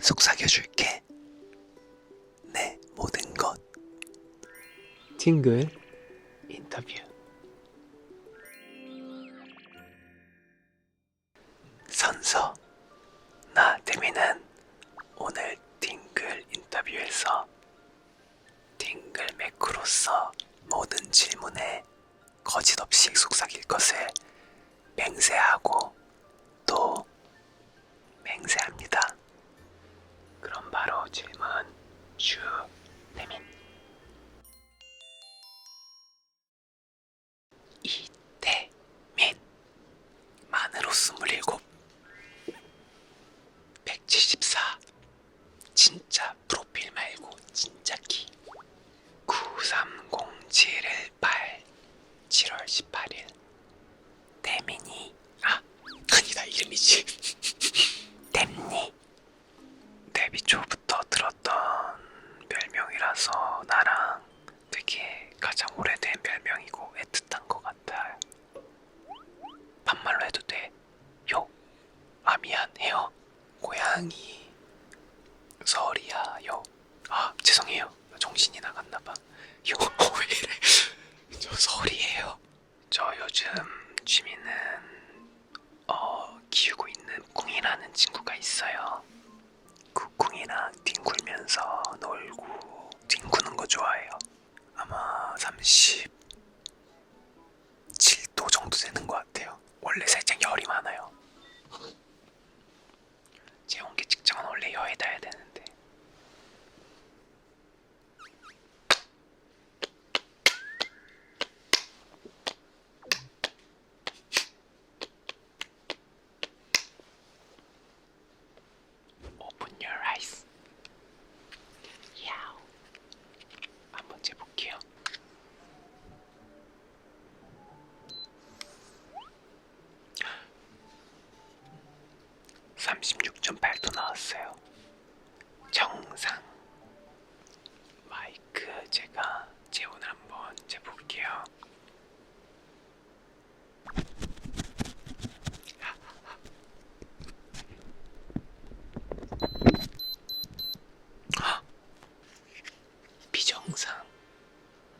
속삭여줄게. 내 모든 것. 팅글 인터뷰. 선서. 나 데미는 오늘 팅글 인터뷰에서 팅글 매크로서 모든 질문에 거짓 없이 속삭일 것을 맹세하고 또 맹세합니다. 그럼 바로 질문 슈태민 이태민 만으로 27 174 진짜 프로필 말고 진짜 키 9307을 88 7월 18일 데미니 아 아니다 이름이지 데미니 데뷔초부터 들었던 별명이라서 나랑 되게 가장 오래된 별명이고 애틋한 것 같아 반말로 해도 돼? 요? 아 미안해요 고양이 서리야 요아 죄송해요 정신이 나갔나봐 요왜래 어, 저 서울이에요 저 요즘 취미는 어 키우고 있는 꿍이라는 친구가 있어요 그 꿍이랑 뒹굴면서 놀고 뒹구는 거 좋아해요 아마 37도 정도 되는 것 같아요 원래 살짝 열이 많아요 재홍기 직장은 원래 여에다야 되는데. Open your eyes. 야우. 한번 재볼게요. 36.8도 나왔어요. 정상. 마이크 제가 재온을 한번 재볼게요. 비정상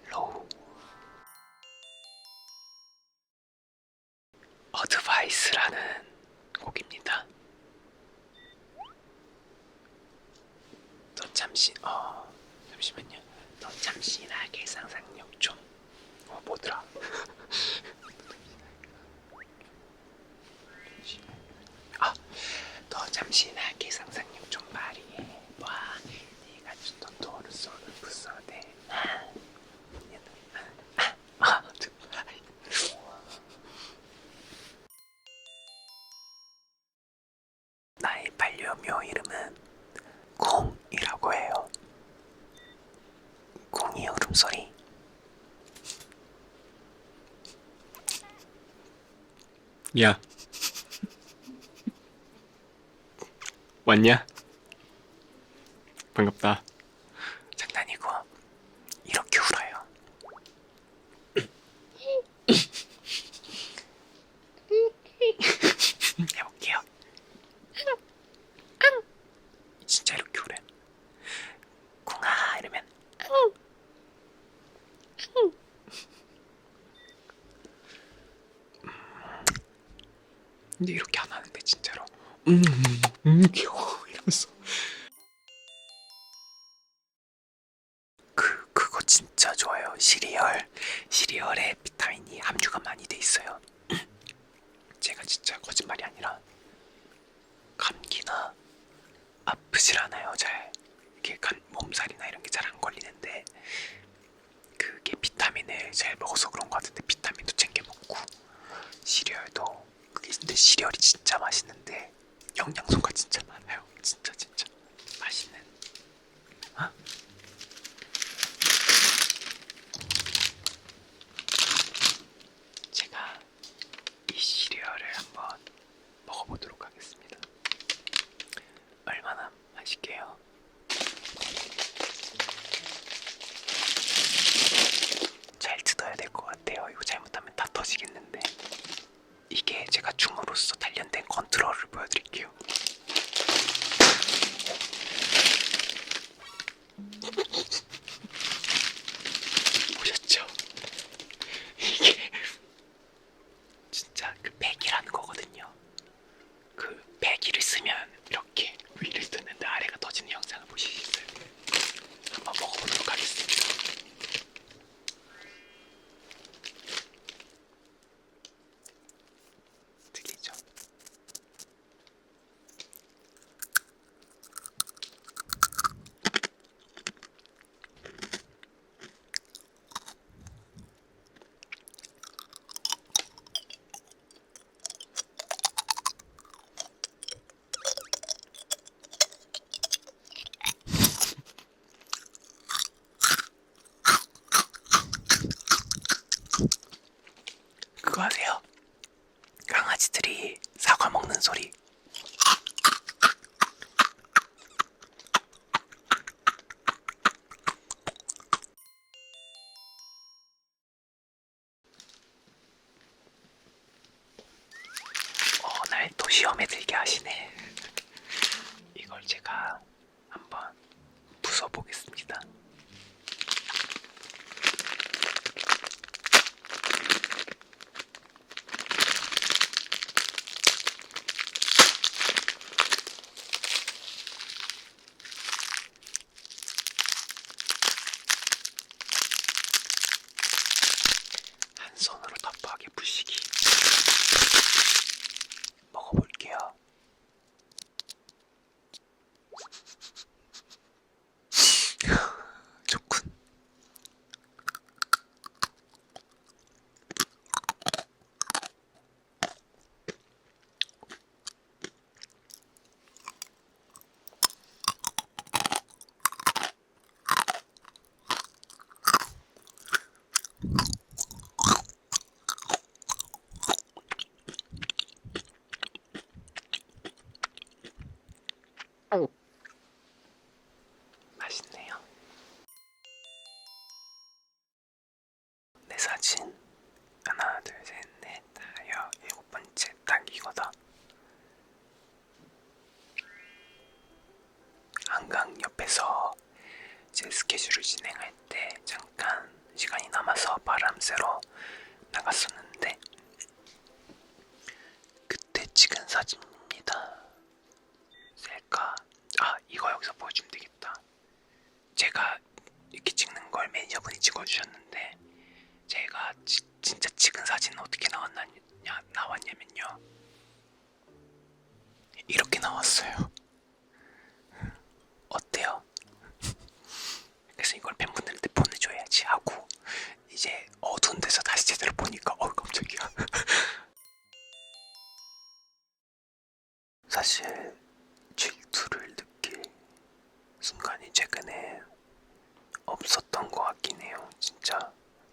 로우 어드바이스라는 곡입니다. 너 잠시 어 잠시만요. 너 잠시나게 상상력 좀. 어 뭐더라? 아너 잠시나게 상상력 좀 말이해. 와 네가 주던 돈을 쏘는 부서대. 아, 정말. 나의 반려묘 이름은 공이라고 해요. 공이의 울음소리. 야. 왔냐? 반갑다. 장난이고 이렇게 울어요. 해볼게요. 진짜 이렇게 울래 궁아 이러면 근데 이렇게 안 하는데 진짜로 음, 음, 음 귀여워 이러면서 그 그거 진짜 좋아요 시리얼 시리얼에 비타민이 함유가 많이 돼 있어요 제가 진짜 거짓말이 아니라 감기나 아프질 않아요 잘 이렇게 가, 살, 몸살이나 이런 게 잘 안 걸리는데 그게 비타민을 잘 먹어서 그런 것 같은데 비타민도 챙겨 먹고 시리얼도 그게 근데 시리얼이 진짜 맛있는데 영양소가 진짜 많아요. 진짜 진짜 맛있는. 어? 제가 이 시리얼을 한번 먹어보도록 하겠습니다. 얼마나 맛있게요. 잘 뜯어야 될것 같아요. 이거 잘못하면 다 터지겠는데. 이게 제가 춤으로써 단련된 컨트롤을 보여드릴게요. 보셨죠? 이게 진짜 그 배기라는 거거든요. 그 배기를 쓰면 이렇게 위를 쓰는데 아래가 터지는 영상을 보시겠어요? 한번 먹어보도록 하겠습니다. 특이죠? 그거 아세요? 강아지들이 사과 먹는 소리. 오늘 또 시험에 들게 하시네. 이걸 제가 한번 부숴보겠습니다. 한 손으로 답하게 부시기 먹어볼게요. 좋군. 맛있네요. 내 사진 하나 둘 셋 넷 다여 일곱 번째 딱 이거다. 한강 옆에서 제 스케줄을 진행할 때 잠깐 시간이 남아서 바람 쐬러 나갔었는데 그때 찍은 사진입니다. 셀카 아 이거 여기서 보여주면 되겠다 제가 이렇게 찍는 걸 매니저분이 찍어주셨는데 제가 지, 진짜 찍은 사진은 어떻게 나왔냐, 나왔냐면요 이렇게 나왔어요 어때요? 그래서 이걸 팬분들한테 보내줘야지 하고 이제 어두운 데서 다시 제대로 보니까 어우 깜짝이야 사실 질투를 느낄 순간이 최근에 없었던 것 같긴 해요. 진짜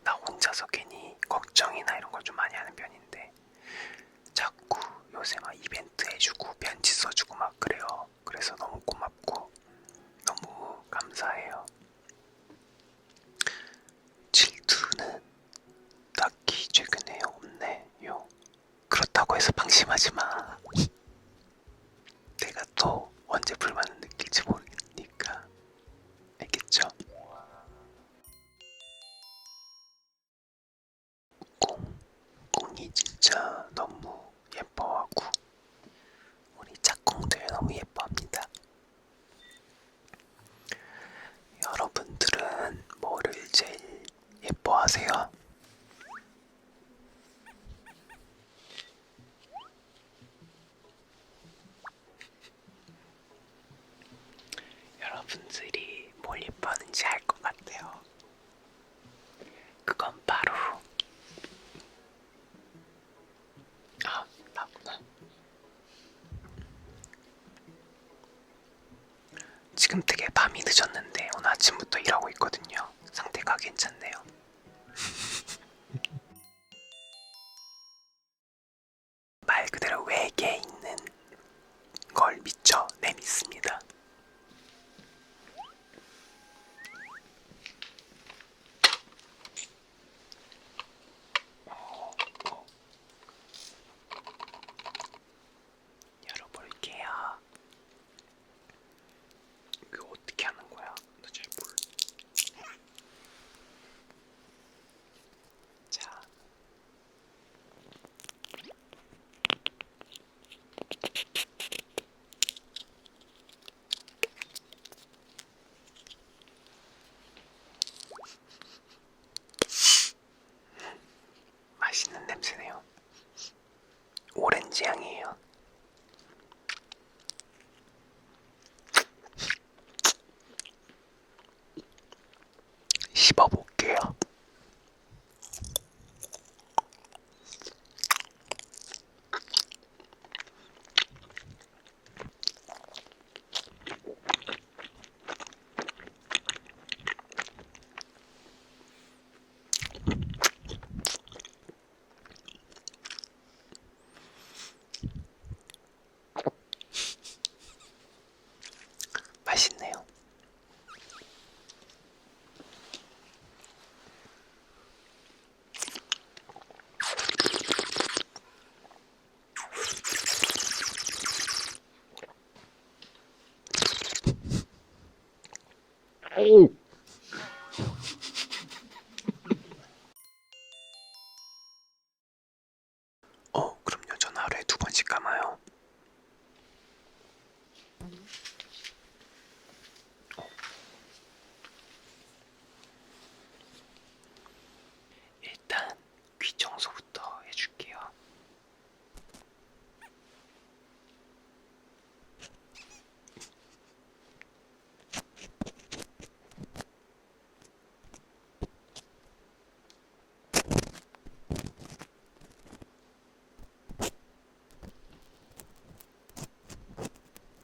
나 혼자서 괜히 걱정이나 이런 걸 좀 많이 하는 편인데 자꾸 요새 막 이벤트 해주고 편지 써주고 막 그래요. 그래서 너무 고맙고 너무 감사해요. 질투는 딱히 최근에 없네요. 그렇다고 해서 방심하지 마. 내가 또 언제 불만을 느낄지 모르니까. 알겠죠? 꽁, 꽁이 진짜 너무 예뻐하고 우리 짝꿍들 너무 예뻐합니다. 여러분들은 뭐를 제일 예뻐하세요? 여러분들이 뭘 예뻐하는지 알 것 같아요. 그건 바로 아, 나구나. 지금 되게 밤이 늦었는데 오늘 아침부터 일하고 있거든요. 상태가 괜찮네요. 말 그대로 외계에 있는 걸 미쳐 내밌습니다. 네, 열어볼게요. 이거 어떻게 하는 거야? 나 잘 몰라. 자. 맛있는 냄새네요. 오렌지 향이에요. 씹어볼게요. 맛있네요. 어, 그럼요. 전 하루에 두 번씩 감아요. 일단 귀 청소부터 해줄게요.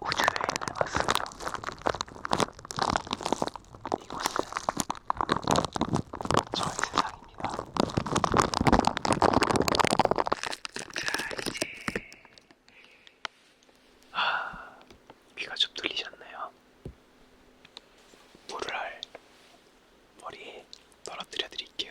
우주여행을 왔어요. 이곳은 저의 세상입니다. 자, 이제 아, 귀가 좀 뚫리셨나요? 물을 머리에 떨어뜨려 드릴게요.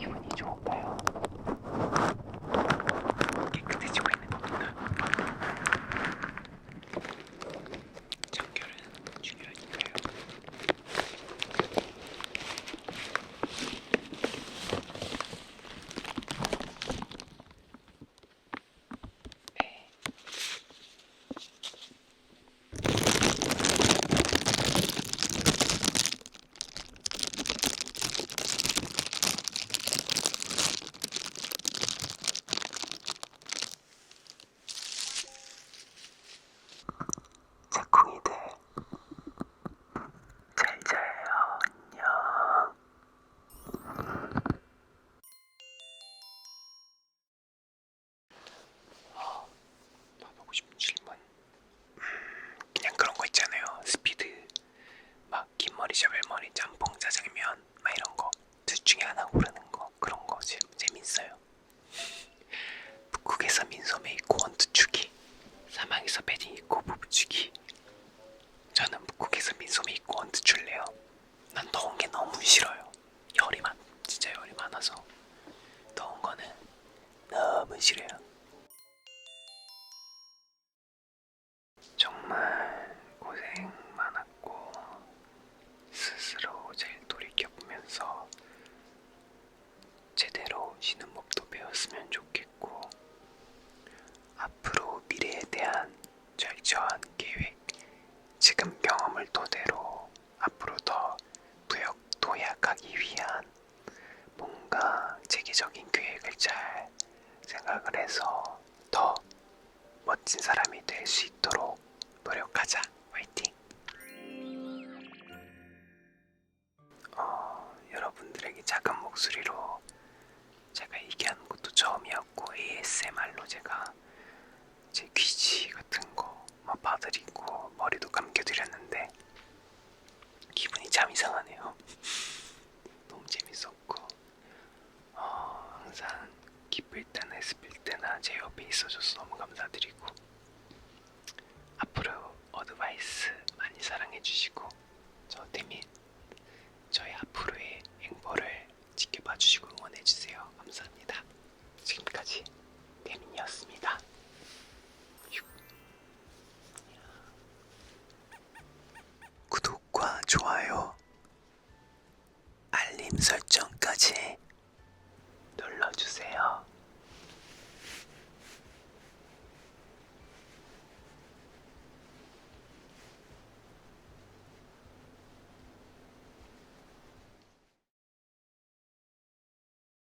기분이 좋을까요? 깨끗해지고 있는 겁니다. 청결은 중요하니까요. 네. 짝꿍이들 잘 자요 안녕 아, 157만 그냥 그런 거 있잖아요. 스피드, 막 긴 머리, 셔벨 머리, 짬뽕, 짜장면, 막 이런 거. 둘 중에 하나 고르는 거 그런 거 재, 재밌어요. 북극에서 민소매 입고 원투 추기, 사막에서 베딩 입고 부부 추기. 저는 북극에서 민소매 입고 원투 출래요. 난 더운 게 너무 싫어요. 열이 많, 진짜 열이 많아서 더운 거는 너무 싫어요. 정말 고생 많았고 스스로 잘 돌이켜보면서 제대로 쉬는 법도 배웠으면 좋겠고 앞으로 미래에 대한 철저한 계획 지금 경험을 토대로 앞으로 더 부역 도약하기 위한 뭔가 체계적인 계획을 잘 생각을 해서 더 멋진 사람이 될 수 있도록 노력하자. 화이팅! 어, 여러분들에게 작은 목소리로 제가 얘기하는 것도 처음이었고 ASMR로 제가 제 귀지 같은 거막 봐드리고 머리도 감겨드렸는데 기분이 참 이상하네요. 너무 재밌었고 어, 항상 기쁠 때나 슬플 때나 제 옆에 있어줘서 너무 감사드리고 앞으로 어드바이스 많이 사랑해주시고 저 대민 저의 앞으로의 행보를 지켜봐주시고 응원해주세요. 감사합니다. 지금까지 대민이었습니다. 구독과 좋아요, 알림 설정까지 눌러주세요.